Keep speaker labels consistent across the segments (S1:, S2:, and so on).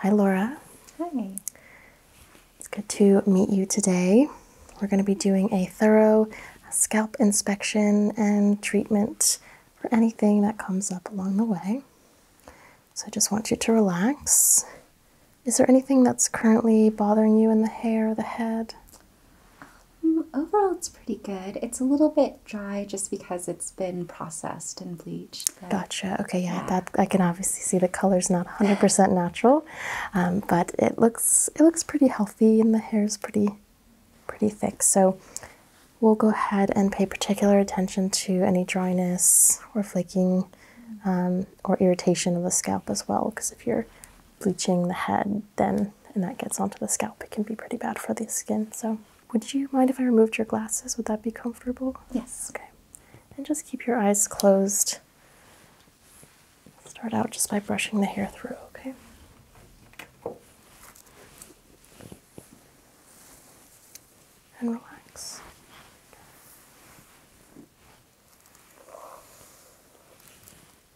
S1: Hi, Laura. Hi. It's good to meet you today. We're going to be doing a thorough scalp inspection and treatment for anything that comes up along the way. So I just want you to relax. Is there anything that's currently bothering you in the hair or the head? Mm, overall, it's pretty good. It's a little bit dry just because it's been processed and bleached. Gotcha. Okay, yeah, I can obviously see the color is not 100% natural, um, but it looks it looks pretty healthy and the hair's pretty pretty thick. So we'll go ahead and pay particular attention to any dryness or flaking um, or irritation of the scalp as well, because if you're bleaching the head, then and that gets onto the scalp, it can be pretty bad for the skin. So, would you mind if I removed your glasses? Would that be comfortable? Yes. Okay. And just keep your eyes closed. Start out just by brushing the hair through, okay? And relax.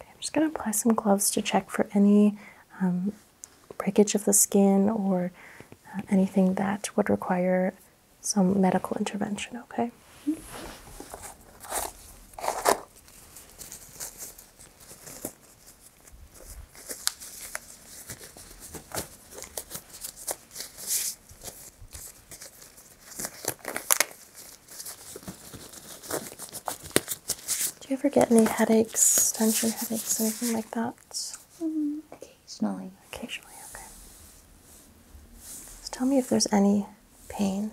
S1: I'm just going to apply some gloves to check for any um, breakage of the skin or uh, anything that would require some medical intervention, okay? Do you ever get any headaches, tension headaches, anything like that? Mm, occasionally. Occasionally, okay. So tell me if there's any pain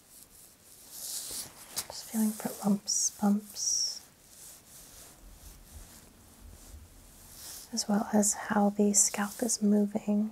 S1: Just feeling for lumps, bumps, as well as how the scalp is moving.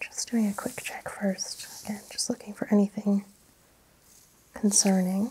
S1: Just doing a quick check first. Again, just looking for anything concerning.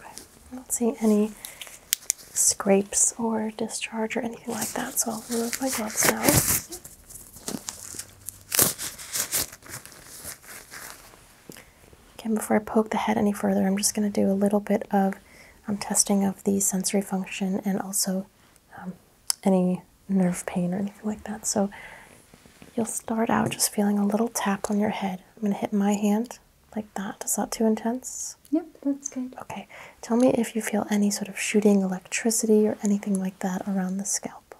S1: i do not see any scrapes or discharge or anything like that, so I'll remove my gloves now. Again, before I poke the head any further, I'm just going to do a little bit of um, testing of the sensory function and also um, any nerve pain or anything like that. So you'll start out just feeling a little tap on your head. I'm going to hit my hand like that. Is that too intense? Yep, that's good. Okay. Tell me if you feel any sort of shooting electricity or anything like that around the scalp.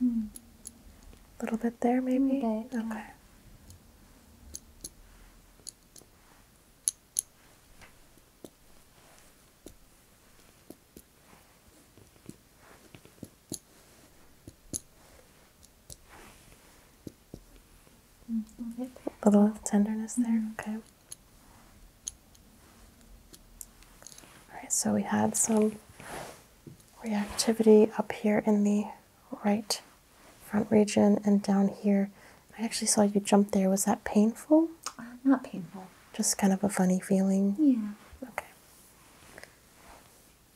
S1: Hmm. A little bit there, maybe? okay. A little tenderness there, mm-hmm. okay. Alright, so we had some reactivity up here in the right front region and down here. I actually saw you jump there. Was that painful? Uh, not painful. Just kind of a funny feeling? Yeah. Okay.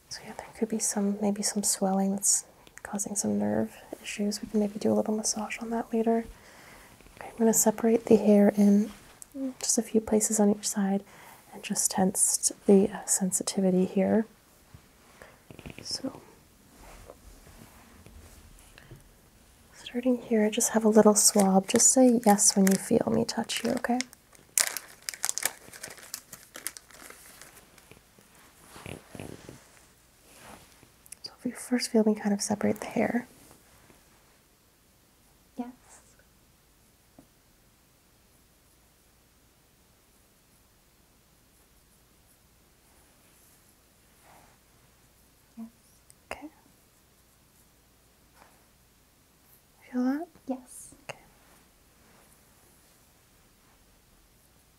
S1: So yeah, there could be some, maybe some swelling that's causing some nerve issues. We can maybe do a little massage on that later. I'm going to separate the hair in just a few places on each side and just tense the uh, sensitivity here. So, starting here, I just have a little swab. Just say yes when you feel me touch you, okay? So if you first feel me kind of separate the hair. Yes. Yes. Okay. Feel that? Yes. Okay.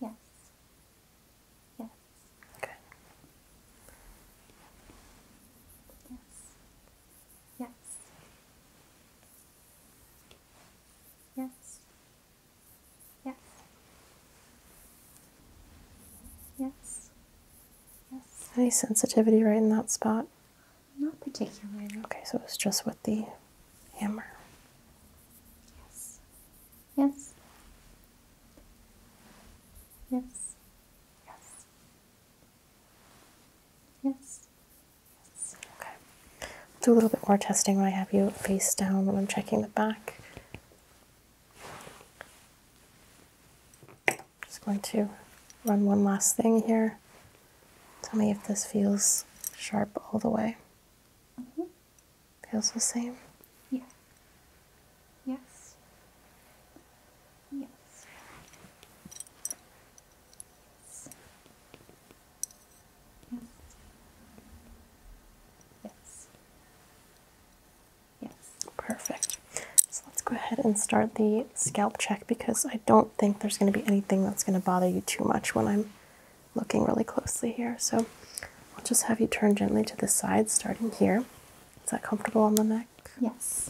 S1: Yes. Yes. Good. Yes. Yes. Yes. Yes. Yes. Any sensitivity right in that spot? Not particularly. Okay, so it was just with the hammer. Yes. Yes. Yes. Yes. Yes. Okay. do a little bit more testing when I have you face down when I'm checking the back. Just going to run one last thing here. Tell me if this feels sharp all the way. Mm-hmm. Feels the same? Yeah. Yes. Yes. Yes. Yes. Yes. Yes. Perfect. So let's go ahead and start the scalp check because I don't think there's going to be anything that's going to bother you too much when I'm looking really closely here. So I'll just have you turn gently to the side, starting here. Is that comfortable on the neck? Yes.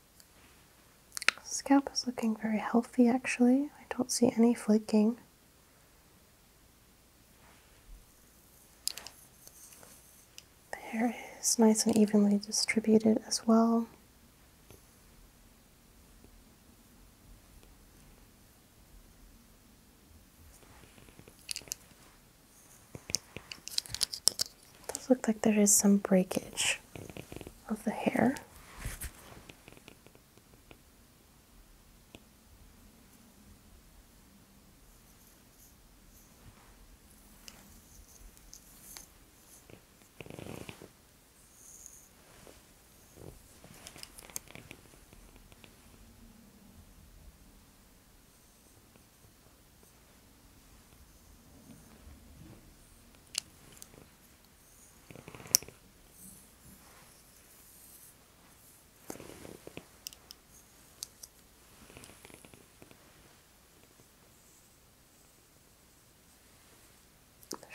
S1: Scalp is looking very healthy actually. I don't see any flaking. The hair is nice and evenly distributed as well. It does look like there is some breakage of the hair.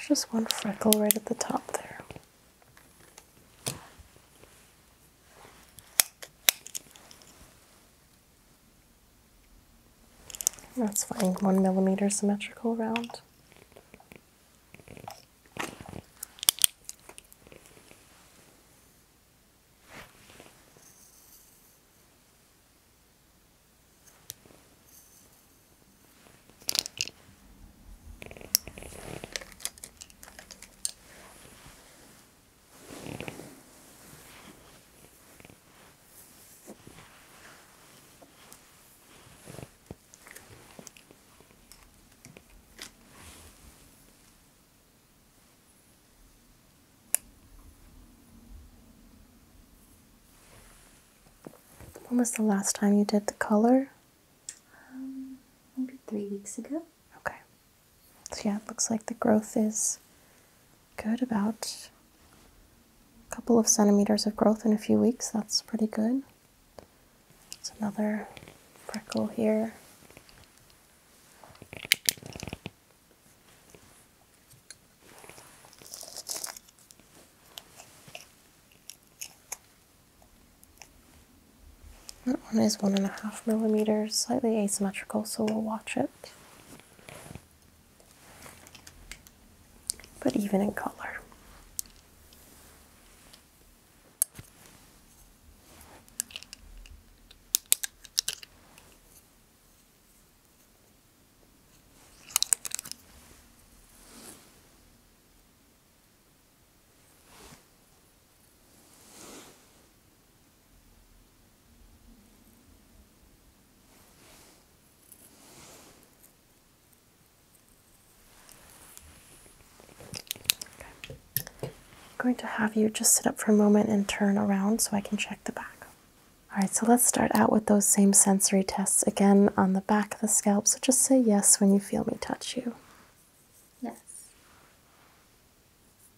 S1: There's just one freckle right at the top there. That's fine. one millimeter symmetrical round. When was the last time you did the color? Um, maybe three weeks ago. Okay. So, yeah, it looks like the growth is good about a couple of centimeters of growth in a few weeks. That's pretty good. It's another freckle here. That one is one and a half millimeters, slightly asymmetrical, so we'll watch it but even in color. I'm going to have you just sit up for a moment and turn around so I can check the back. All right, so let's start out with those same sensory tests again on the back of the scalp. So just say yes when you feel me touch you. Yes.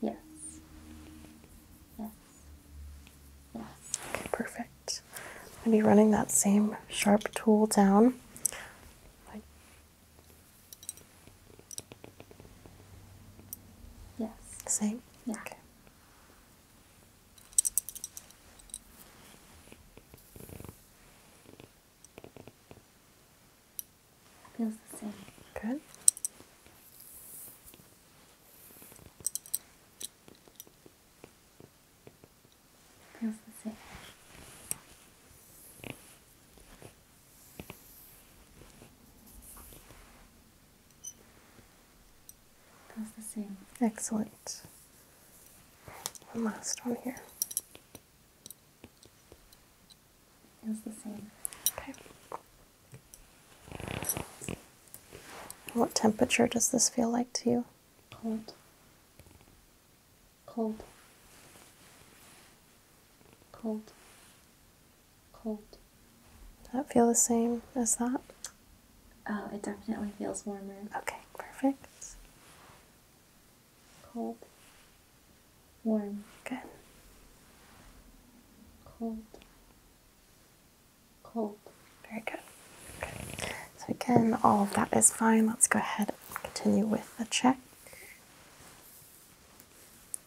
S1: Yes. Yes. Yes. Okay, perfect. i will be running that same sharp tool down. yes. Same? Yeah. Feels the same. Good. Feels the same. Feels the same. Excellent. One last one here is the same. Okay. What temperature does this feel like to you? Cold. Cold. Cold. Cold. Does that feel the same as that? Oh, it definitely feels warmer. Okay, perfect. Cold. Warm. Good. Cold. Cold. Very good. Okay. So again, all of that is fine. Let's go ahead and continue with the check.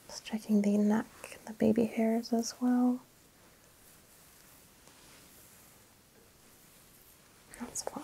S1: Just checking the neck and the baby hairs as well. That's fine.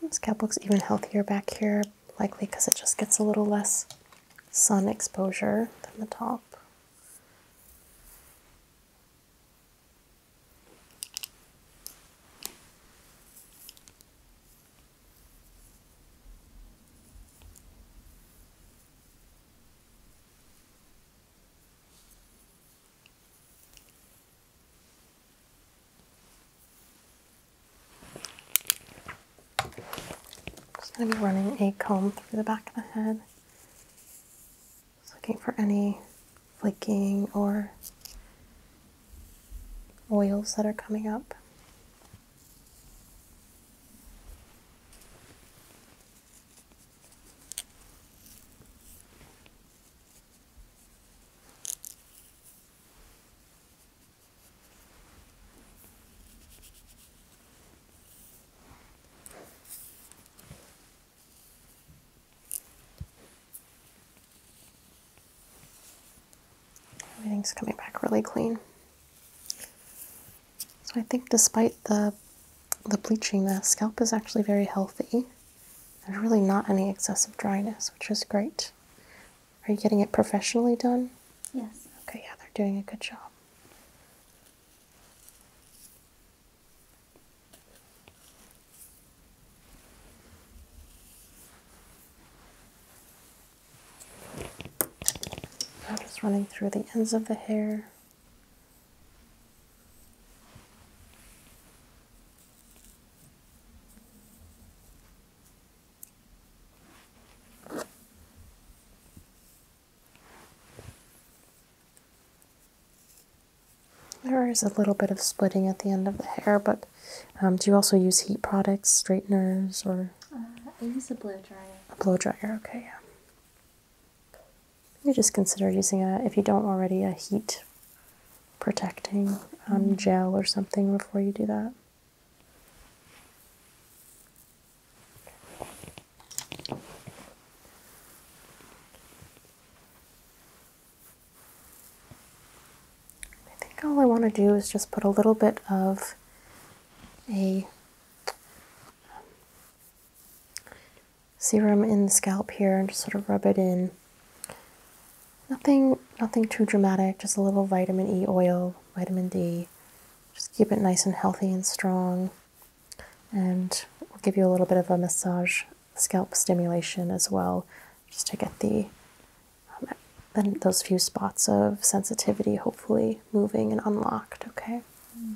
S1: And scalp looks even healthier back here, likely because it just gets a little less sun exposure than the top. I'm going to be running a comb through the back of the head looking for any flaking or oils that are coming up. Everything's coming back really clean. So I think despite the the bleaching, the scalp is actually very healthy. There's really not any excessive dryness, which is great. Are you getting it professionally done? Yes. Okay, yeah, they're doing a good job. I'm just running through the ends of the hair. There is a little bit of splitting at the end of the hair, but um, do you also use heat products, straighteners, or? Uh, I use a blow dryer. A blow dryer, okay, yeah. You just consider using a, if you don't already, a heat protecting um, mm-hmm. gel or something before you do that. I think all I want to do is just put a little bit of a um, serum in the scalp here and just sort of rub it in. Nothing, nothing too dramatic, just a little vitamin E oil, vitamin D, just keep it nice and healthy and strong. And we'll give you a little bit of a massage scalp stimulation as well, just to get the um, then those few spots of sensitivity hopefully moving and unlocked, okay? Mm.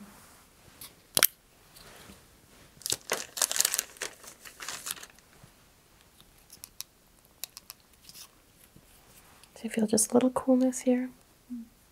S1: you feel just a little coolness here?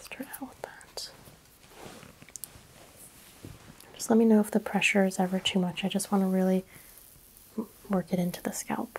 S1: start out with that. Just let me know if the pressure is ever too much. I just want to really work it into the scalp.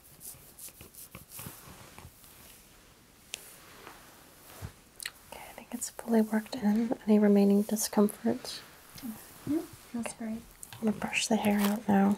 S1: Okay, I think it's fully worked in. Any remaining discomfort? No, I'm gonna brush the hair out now.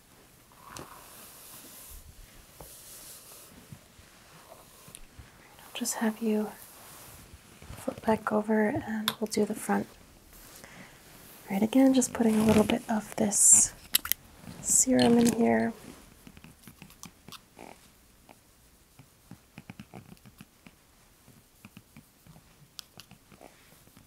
S1: I'll just have you flip back over and we'll do the front. Right again, just putting a little bit of this serum in here.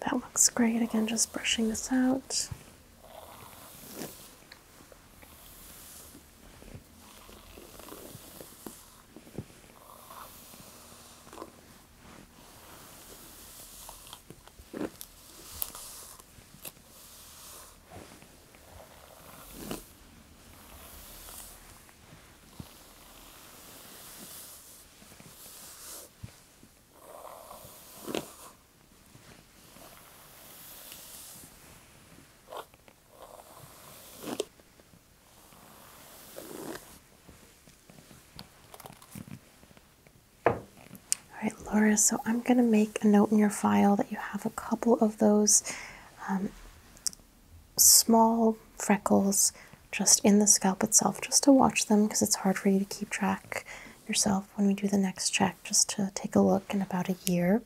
S1: that looks great. Again, just brushing this out. All right, Laura, so I'm going to make a note in your file that you have a couple of those um, small freckles just in the scalp itself, just to watch them because it's hard for you to keep track yourself when we do the next check, just to take a look in about a year,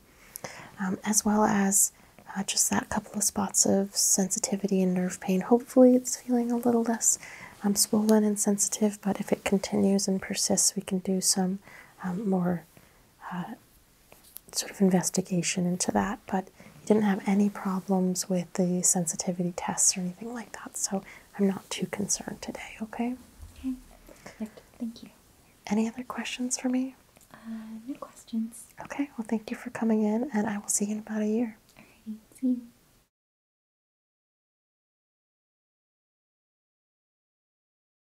S1: um, as well as uh, just that couple of spots of sensitivity and nerve pain. Hopefully, it's feeling a little less um, swollen and sensitive, but if it continues and persists, we can do some more. Uh, sort of investigation into that, but he didn't have any problems with the sensitivity tests or anything like that, so I'm not too concerned today, okay? Okay, perfect. Thank you. Any other questions for me? Uh, no questions. Okay, well, thank you for coming in, and I will see you in about a year. All right, see